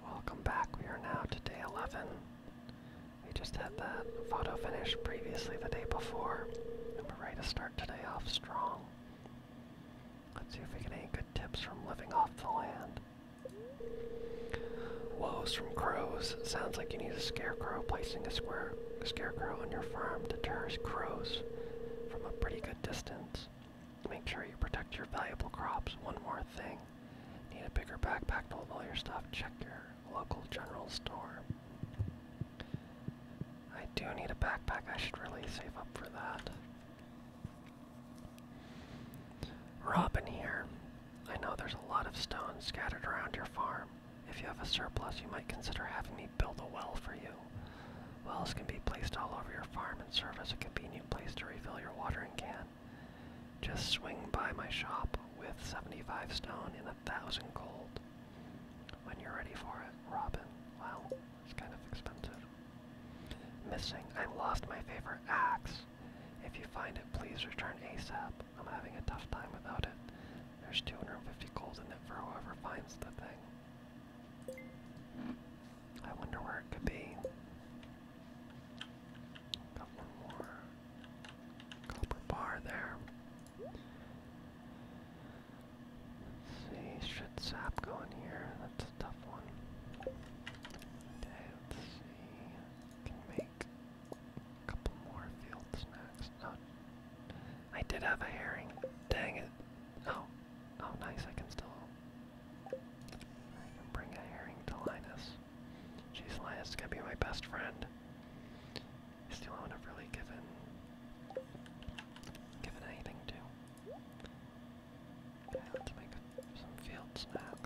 Welcome back. We are now to day 11. We just had that photo finish previously the day before, and we're ready to start today off strong. Let's see if we get any good tips from living off the land. Woes from crows. Sounds like you need a scarecrow. Placing a square scarecrow on your farm deters crows from a pretty good distance. Make sure you protect your valuable crops. One more thing. Need a bigger backpack to hold all your stuff. Check your local general store. I do need a backpack. I should really save up for that. Robin here. I know there's a lot of stones scattered around your farm. If you have a surplus, you might consider having me build a well for you. Wells can be placed all over your farm and serve as a convenient place to refill your watering can. Just swing by my shop with 75 stone and a thousand gold when you're ready for it, Robin. Wow, it's kind of expensive. Missing. I lost my favorite axe. If you find it, please return ASAP. I'm having a tough time without it. There's 250 gold in it for whoever finds the thing. I wonder where it could be. Got more copper bar there. see, should sap go in here? That's a tough one. Okay, let's see. Can make couple more fields next. Oh, I did have a herring. Dang it. Oh, Oh, nice, I can still... bring a herring to Linus. Jeez, Linus is gonna be my best friend. He's the only one I've really given... given anything to. Okay, let's make some field snacks.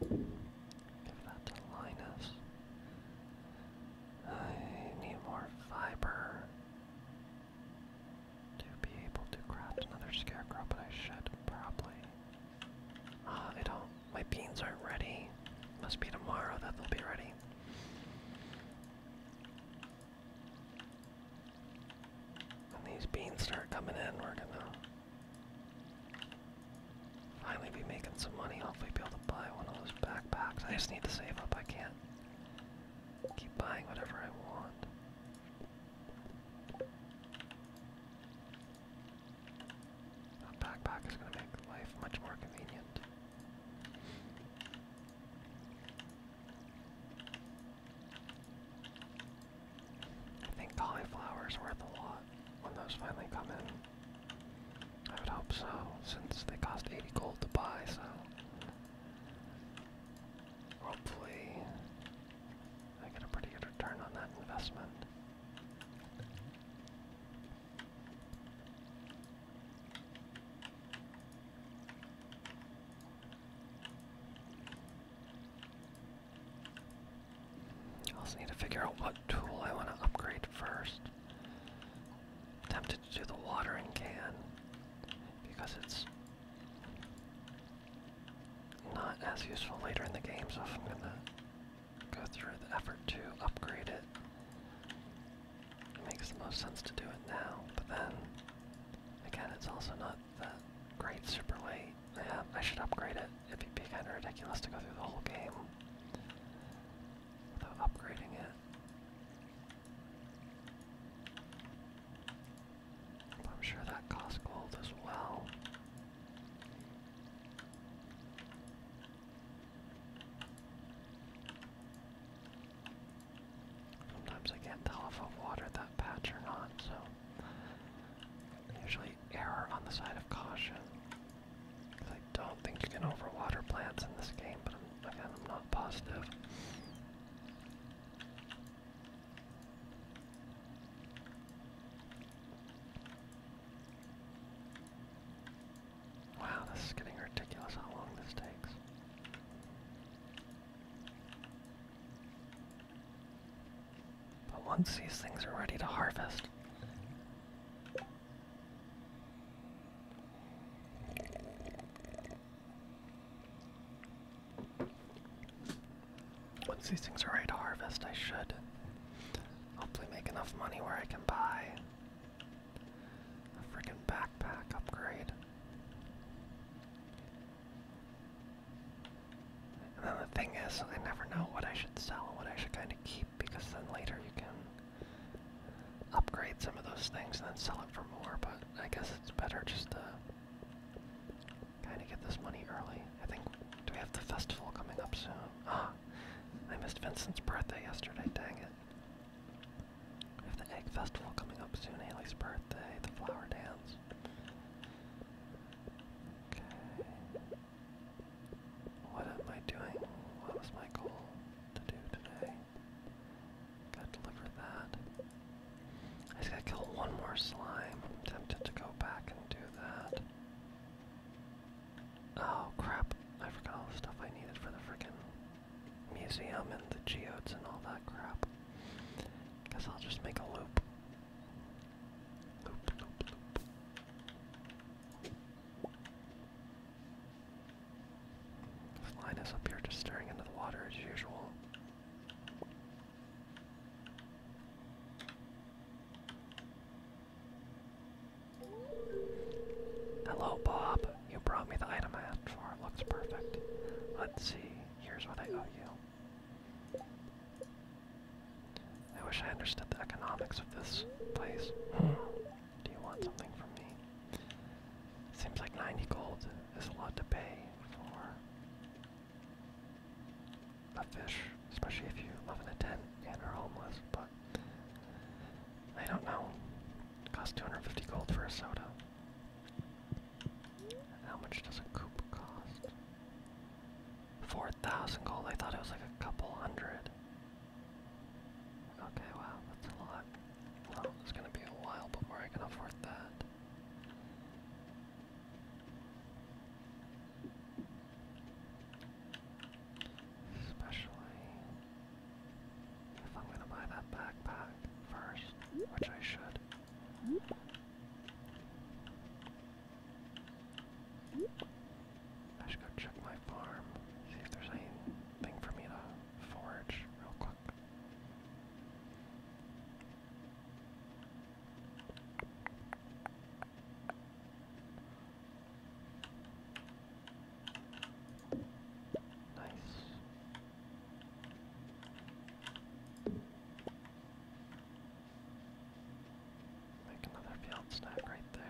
Give that to Linus. I need more fiber to be able to craft another scarecrow, but I should probably. Uh, ah, I don't. My beans aren't ready. Must be tomorrow that they'll be ready. When these beans start coming in, we're gonna Finally be making some money, hopefully be able to buy one of those backpacks. I just need to save up, I can't keep buying whatever I want. A backpack is going to make life much more convenient. I think cauliflower is worth a lot when those finally come in. I would hope so, since they cost 80 gold to buy, so. Hopefully, I get a pretty good return on that investment. I also need to figure out what tool I want to upgrade first. Tempted to do the watering can because it's not as useful later in the game, so I'm gonna go through the effort to upgrade it, it makes the most sense to do it now. But then, again, it's also not that great super late. Yeah, I should upgrade it. It'd be kind of ridiculous to go through the whole game without upgrading it. I'm sure that costs gold as well. Sometimes I can't tell if I've watered that patch or not, so Usually error on the side of caution. I don't think you can overwater plants in this game, but I'm, again, I'm not positive. Wow, this is getting ridiculous how long this takes. But once these things are ready to harvest, once these things are ready to harvest, I should hopefully make enough money where I can buy a freaking backpack upgrade. And then the thing is, I never know what I should sell and what I should kind of keep because then later you can upgrade some of those things and then sell it for more. But I guess it's better just to kind of get this money early. I think, do we have the festival coming up soon? Ah, I missed Vincent's birthday yesterday, dang it. We have the egg festival coming up soon, Haley's birthday, the flower dance. Okay. What am I doing? What was my goal to do today? Gotta deliver that. I just gotta kill one more slime. I'm tempted to go back and do that. Oh crap, I forgot all the stuff I needed for the frickin' museum and the geodes and all that crap. Guess I'll just make a loop. Loop, up here just staring into the water as usual. Hello, Bob. You brought me the item I asked for. Looks perfect. Let's see. Here's what I owe you. I wish I understood the economics of this place. Hmm. Do you want something from me? Seems like 90 gold is a lot to pay for a fish, especially if you live in a tent and are homeless, but I don't know. costs 250 gold for a soda. How much does a coupe cost? 4,000 gold. I thought it was like a couple hundred. Okay, wow, that's a lot. Well, it's gonna be a while before I can afford that. Especially if I'm gonna buy that backpack first, which I should. I should go check my farm, see if there's anything for me to forge real quick. Nice. Make another field snack right there.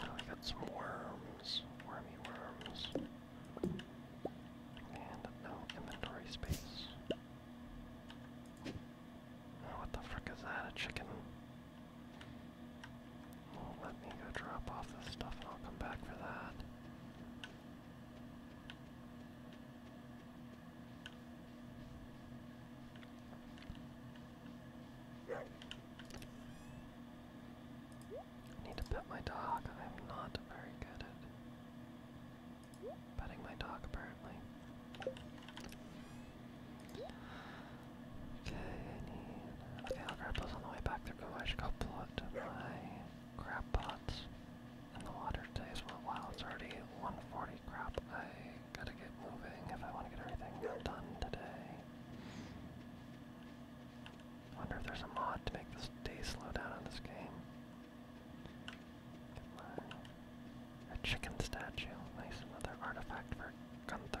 I got some worms, wormy worms. And no inventory space. Oh, what the frick is that? A chicken? let me go drop off this stuff I'll come back for that. I need to pet my dog. I'm not very good at petting my dog, apparently. Okay, need. I'll grab on the way back through. Oh, I should go put my crab pots in the water today as well. Wow, it's already 140 crap. I gotta get moving if I want to get everything done today. Wonder if there's a mod to make this day slow down on this game. A chicken statue. Nice, another artifact for Gunther.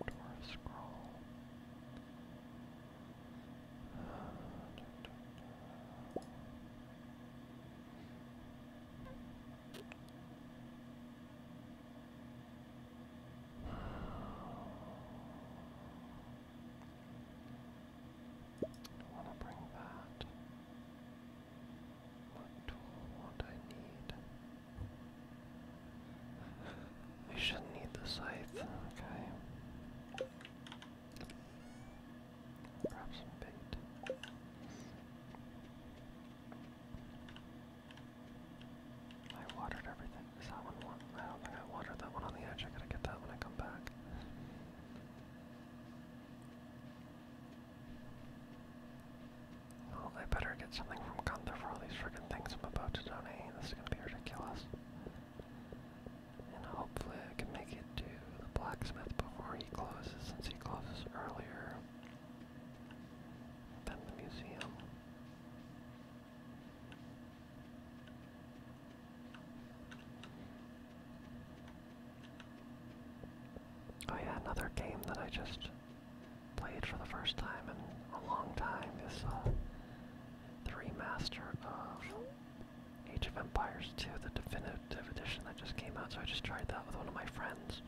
Or scroll. Uh, da, da, want to bring that what tool would I need? We shouldn't need the scythe, okay. Grab some bait. I watered everything. Is that one? I don't think I watered that one on the edge. I gotta get that when I come back. Well, I better get something from Gunther for all these freaking things I'm about to donate. This is gonna be ridiculous. And hopefully I can make it to the blacksmith before he closes, since he closes earlier than the museum. Oh yeah, another game that I just played for the first time in a long time is uh, the remaster of Age of Empires 2, the definitive edition that just came out. So I just tried that with one of my friends.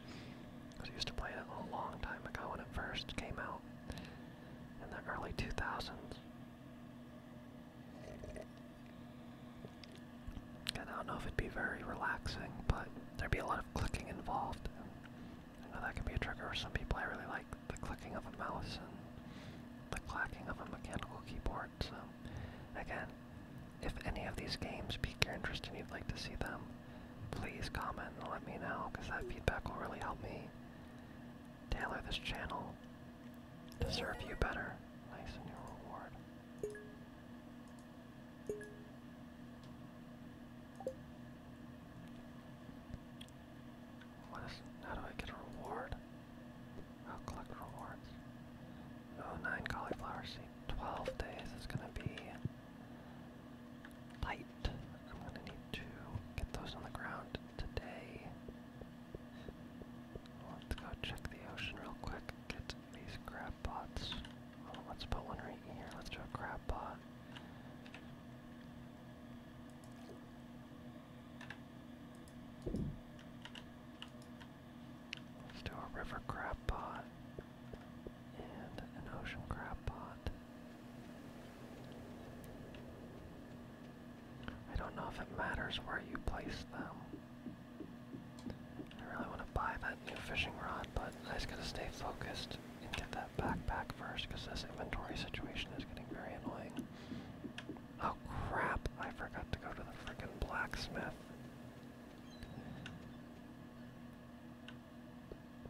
Because I used to play it a long time ago when it first came out in the early 2000s. I don't know if it'd be very relaxing, but there'd be a lot of clicking involved. I know that can be a trigger for some people. I really like the clicking of a mouse and the clacking of a mechanical keyboard. So, again, if any of these games pique your interest and you'd like to see them, please comment and let me know, because that feedback will really help me tailor this channel to serve you better. Nice and reward. What is, how do I get a reward? i collect rewards. Oh, nine cauliflower seed. 12 days is gonna be tight. I'm gonna need to get those on the ground today. Let's go check the ocean real quick get these crab pots. Oh, let's put one right here. Let's do a crab pot. Let's do a river crab pot and an ocean crab pot. I don't know if it matters where you place them. I really want to buy that new fishing rod, but I just gotta stay focused and get that backpack first, because this inventory situation is getting very annoying. Oh crap, I forgot to go to the freaking blacksmith.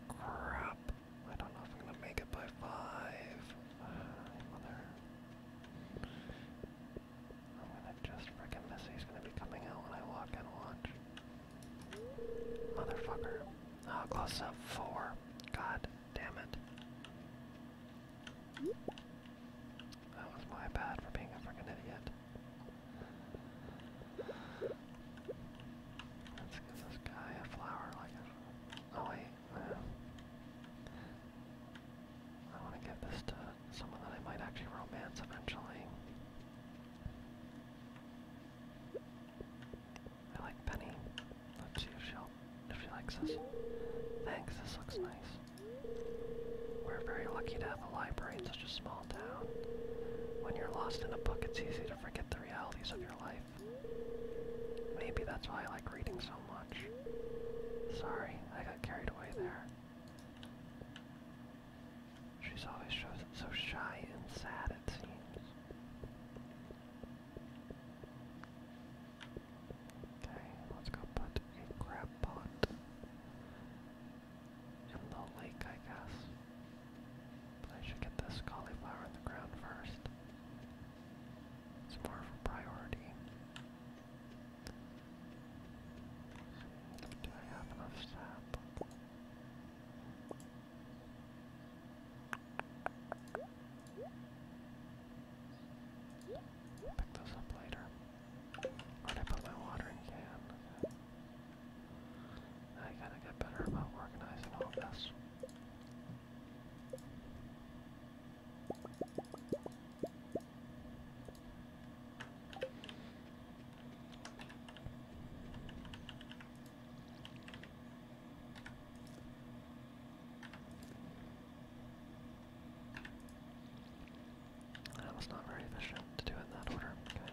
Crap, I don't know if I'm gonna make it by five. mother. Uh, I'm gonna just frickin' miss he's gonna be coming out when I walk and watch. Motherfucker. Oh, close up four. God damn it. That was my bad for being a frickin' idiot. Let's give this guy a flower like Oh wait, I want to give this to someone that I might actually romance eventually. I like Penny. Let's see if she if she likes us. Thanks, this looks nice. We're very lucky to have a library in such a small town. When you're lost in a book, it's easy to forget the realities of your life. Maybe that's why I like reading so much. Sorry, I got carried away there. She's always so shy and sad, it seems. Okay, let's go put a crab pot in the lake, I guess. But I should get this cauliflower in the ground first. It's more of a priority. Do I have enough sap? Pick those up later. where I put my watering can? I gotta get better about organizing all this. That was not very efficient to do in that order. Okay.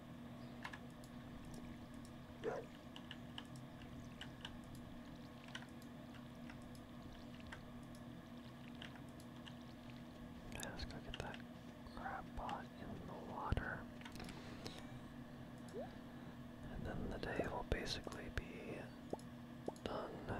Let's go get that crab pot in the water. And then the day will basically be done.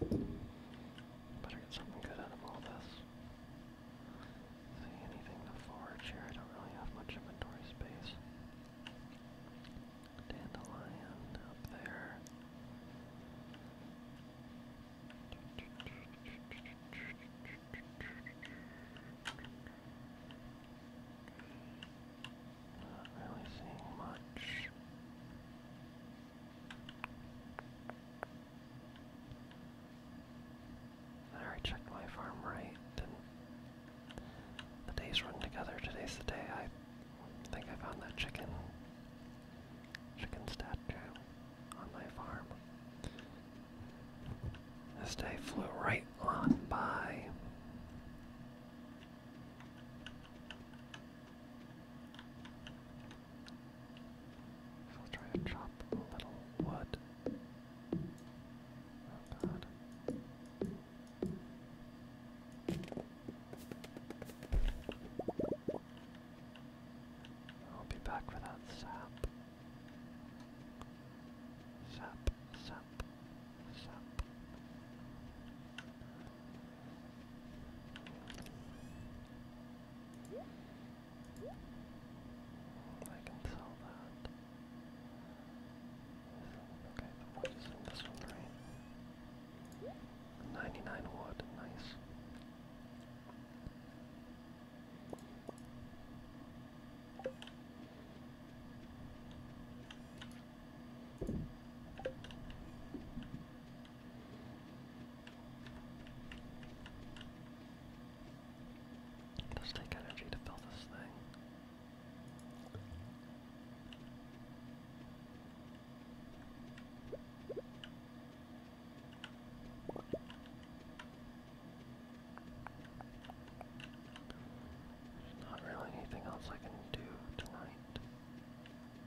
Better get something good out of all this. See anything to here? I don't really have much inventory space. Dandelion up there. Not really seeing much. I checked my farm right, and the days run together. Today's the day I think I found that chicken, chicken statue on my farm. This day flew right on by. I'll try to chop a little wood. Oh, I'll be back for that sap. Sap, sap, sap. I can sell that. Okay, the wood is in this one, right? 99 wood, nice does take energy to build this thing. There's not really anything else I can do tonight.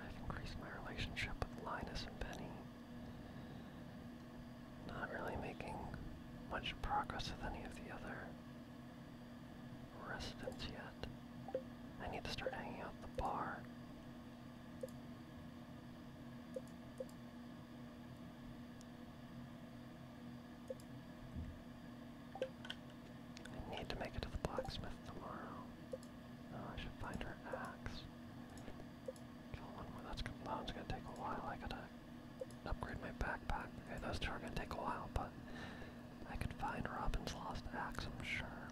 I've increased my relationship with Linus and Penny. Not really making much progress with any of the other residents yet. I need to start hanging out the bar. I need to make it to the blacksmith tomorrow. Oh, I should find her axe one more. That's gonna take a while. I got upgrade my backpack. Okay, those two are gonna take a while, but I could find Robin's lost axe, I'm sure.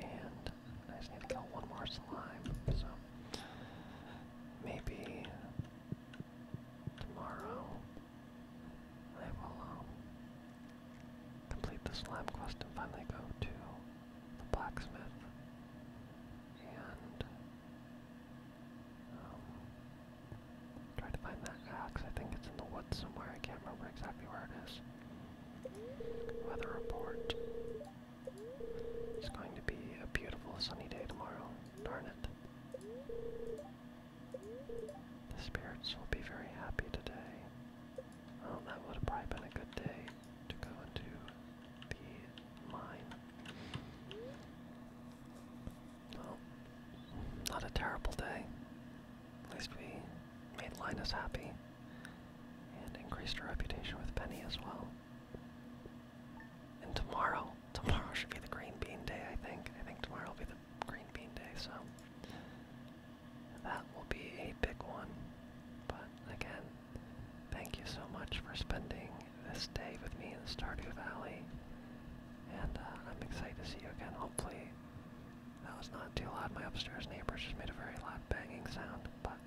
And I need to kill one more slime. So maybe tomorrow I will. Um, Complete the slime quest and finally go to the blacksmith. And um, try to find that axe. I think it's in the woods somewhere. I can't remember exactly where it is. Weather report. It's going to be a beautiful sunny day tomorrow. Darn it. The spirits will be very happy today. Oh, that would have probably been a good day to go to the mine. Well, not a terrible day. At least we made Linus happy and increased her reputation with Penny as well. And tomorrow, tomorrow should be the green bean day, I think. I think tomorrow will be the green bean day, so that will be a big one. But again, thank you so much for spending this day with me in Stardew Valley. And uh, I'm excited to see you again. Hopefully, that was not too loud. My upstairs neighbors just made a very loud banging sound. But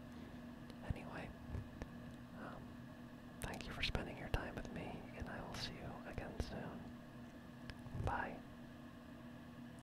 anyway, um, thank you for spending your time with me, and I will see you again soon. Bye.